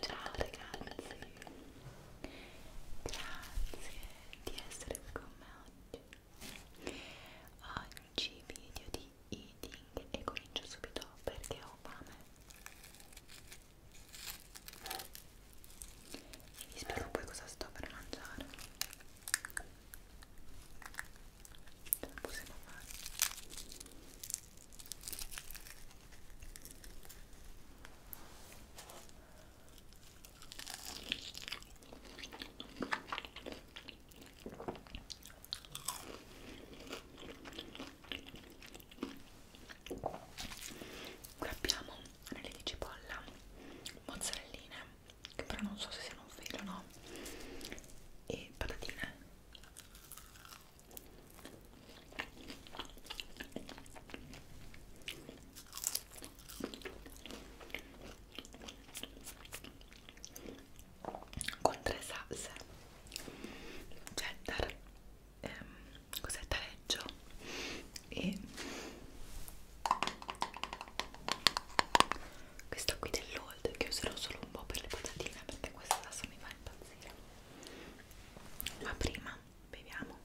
Ciao ragazzi, grazie di essere con me oggi oggi video di eating e comincio subito perché ho fame e vi spiego poi cosa sto per mangiare ce la possiamo fare qui abbiamo anelli di cipolla mozzarelline che però non so se siano un filo o no e patatine con tre salse cheddar ehm, cos'è taleggio e questa qui dell'old che userò solo un po' per le patatine perché questa adesso mi fa impazzire ma prima beviamo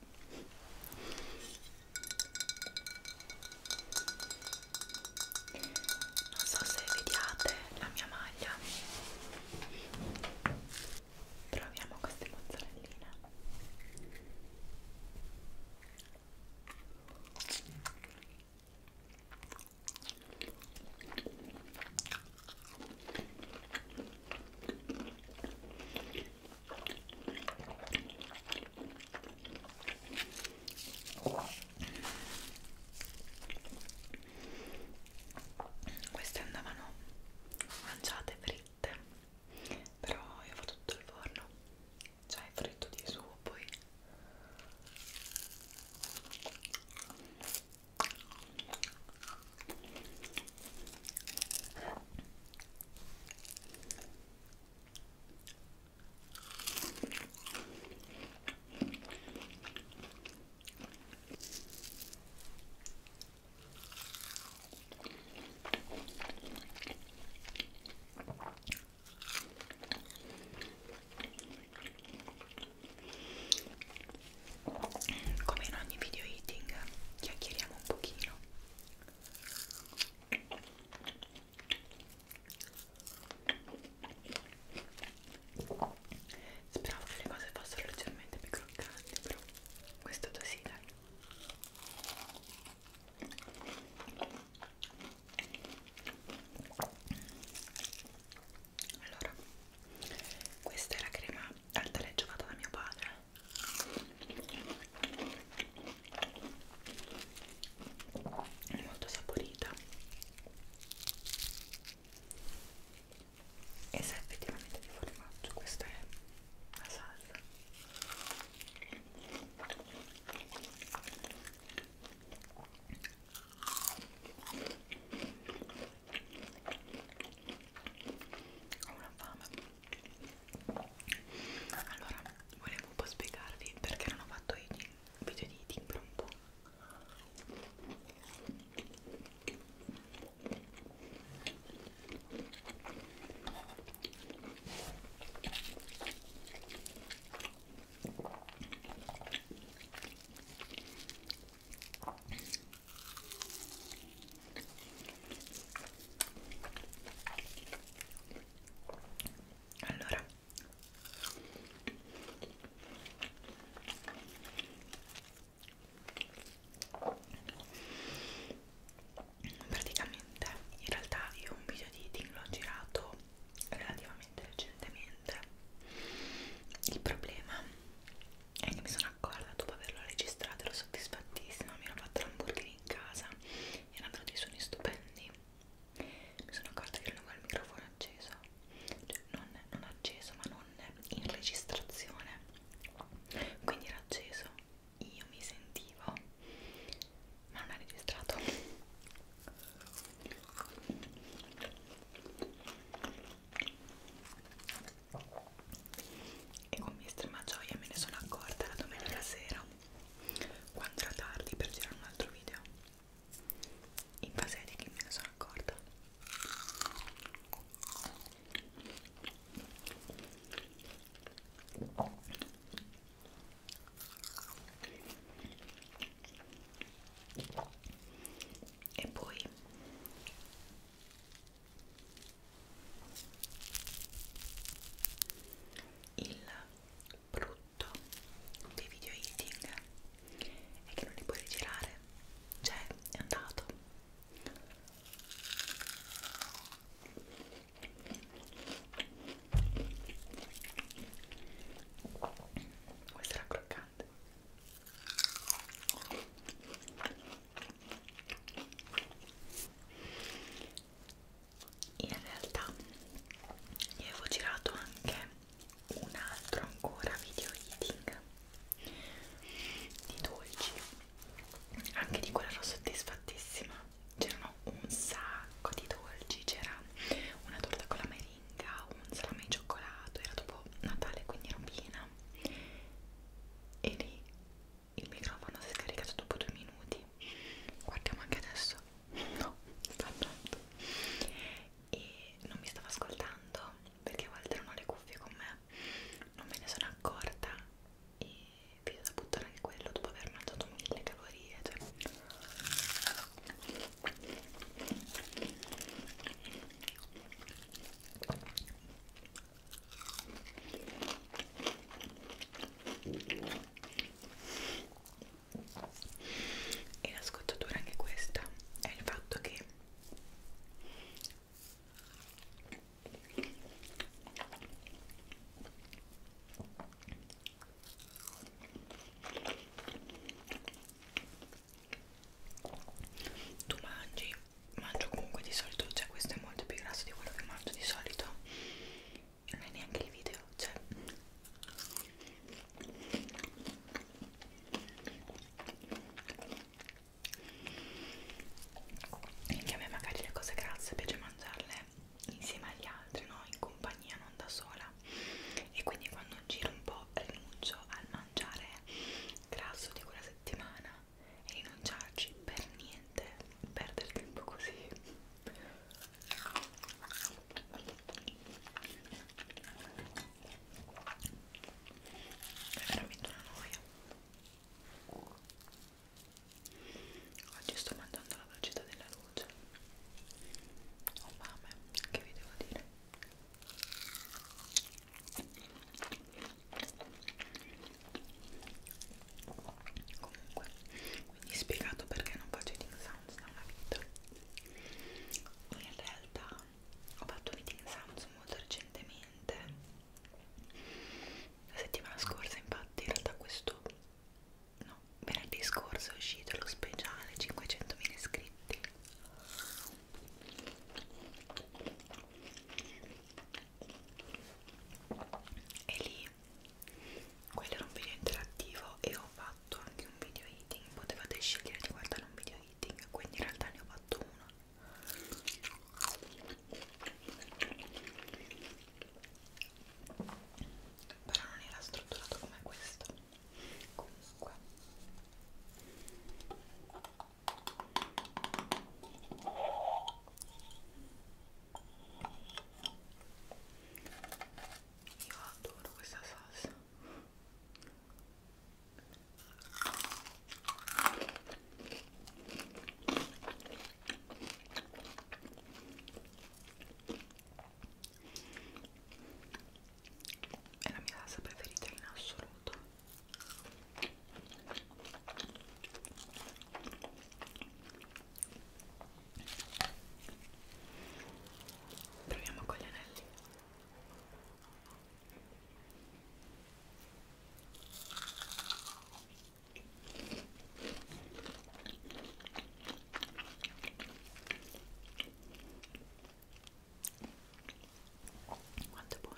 non so se vediate la mia maglia troviamo queste mozzarelline Oh queste andavano mangiate fritte però io ho tutto il forno cioè fritto di suo poi come in ogni video eating, chiacchieriamo un pochino. Speravo che le cose fossero leggermente più croccanti, però questo così dai. Allora, questa è la crema al taleggio fatta da mio padre è molto saporita e sa effettivamente di formaggio questa è la salsa ho una fame allora volevo un po' spiegarvi perché non ho fatto i video di timbro un po' allora praticamente in realtà io un video di eating l'ho girato relativamente recentemente il problema è che mi sono accorta dopo averlo registrato ero soddisfattissima mi ero fatta l'hamburger in casa erano venuti suoni stupendi mi sono accorta che non avevo il microfono acceso cioè non, non acceso ma non in registrazione quindi era acceso io mi sentivo ma non ha registrato e con estrema gioia me ne sono accorta la domenica sera quando era tardi per girare un altro video in base di chi me ne sono accorta e poi il prodotto brutto dei video editing è che non li puoi rigirare cioè è andato questo era croccante in realtà vi avevo girato anche un altro ancora video eating di dolci anche di quello ero soddisfattissima c'erano un sacco di dolci c'era una torta con la meringa un salame di cioccolato era dopo Natale quindi era piena e lì il microfono si è scaricato dopo due minuti guardiamo anche adesso no sta andando e non mi stavo ascoltando perché a volte erano le cuffie con me non me ne sono accorta e vi ho da buttare anche quello dopo aver mangiato mille calorie cioè e la scottatura anche questa è il fatto che tu mangi mangio comunque di solito cioè questo è molto più grasso di quello che mangio di solito non è neanche il video, cioè anche a me magari le cose grasse piace mangiarle insieme agli altri, no? In compagnia, non da sola e quindi quando giro un po' rinuncio al mangiare grasso di quella settimana e rinunciarci per niente perdere tempo così è veramente una noia oggi sto mangiando la velocità della luce ho fame, che vi devo dire comunque quindi spiegato perché non faccio eating sounds da una vita in realtà ho fatto eating sounds molto recentemente la settimana scorsa infatti in realtà questo no venerdì scorso è uscito lo speciale 500.000 iscritti e lì quello era un video interattivo e ho fatto anche un video eating potevate scegliere di guardare un video eating quindi in realtà ne ho fatto uno però non era strutturato come questo comunque io adoro questa salsa. È la mia salsa preferita in assoluto. Proviamo con gli anelli. Quanto è buono.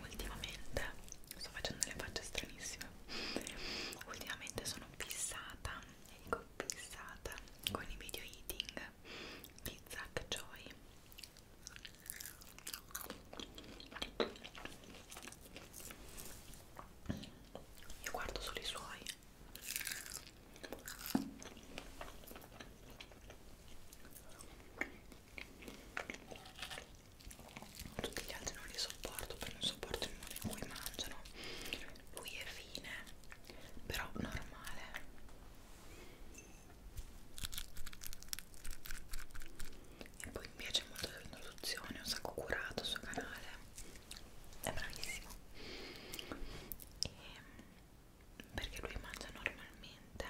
Ultimamente sto facendo le facce stranissime. Ultimamente sono fissata, e dico fissata con i video eating di Zack Joy. Io guardo solo i suoi tutti gli altri non li sopporto perché non sopporto il modo in cui mangiano lui è fine però normale e poi mi piace molto l'introduzione, un sacco curato sul canale è bravissimo e perché lui mangia normalmente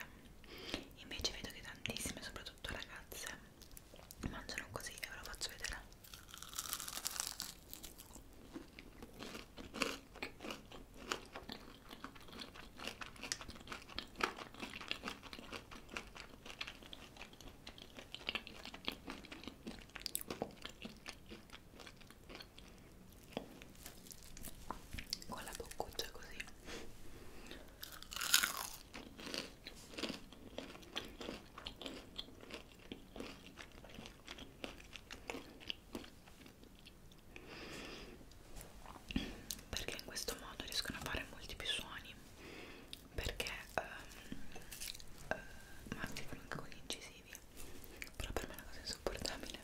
invece vedo che tantissime soprattutto ragazze mangiano così e ve lo faccio vedere con la boccuccia così perché in questo modo riescono a fare molti più suoni perché um, ehm, uh, eh, ma anche con gli incisivi motivi però per me è una cosa insopportabile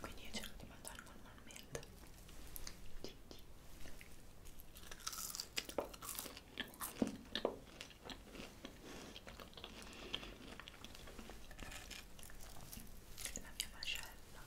quindi io cerco di mangiare normalmente la mia mascella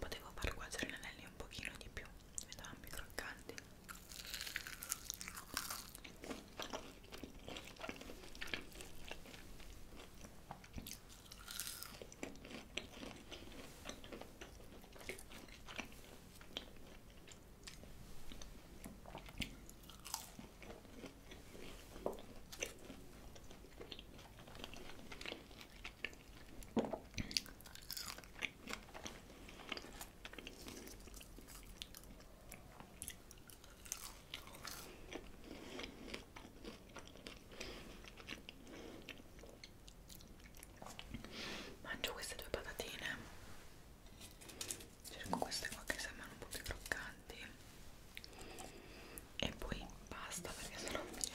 Potevo far cuocere gli anelli un pochino di più, vedevano più croccanti. Mangio queste due patatine cerco queste qua che sembrano un po' più croccanti e poi basta perché sono piena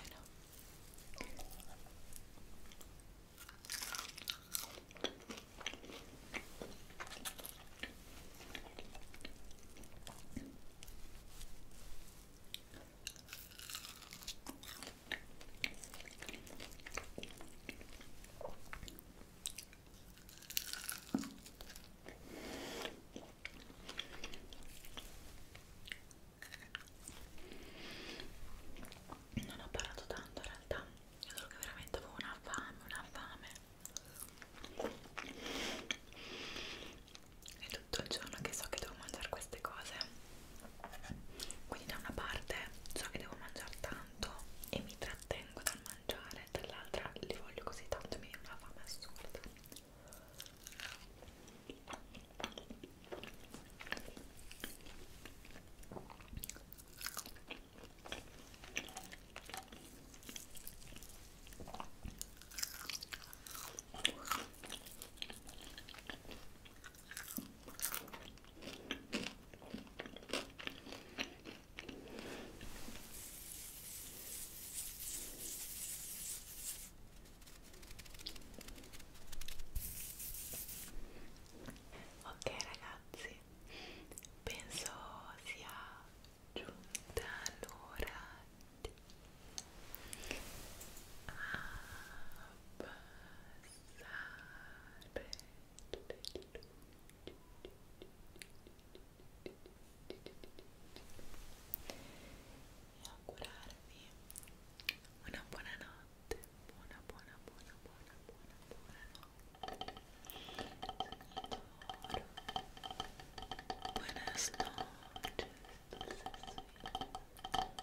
non ho parlato tanto in realtà, io so che veramente avevo una fame, una fame. È tutto il giorno che so che devo mangiare queste cose. Quindi da una parte so che devo mangiare tanto tanto e mi trattengo dal mangiare, dall'altra li voglio così tanto e mi viene una fame assurda. Ok ragazzi, penso sia giunta l'ora di abbassare e augurarvi buona notte buona buona buona buona buona buona notte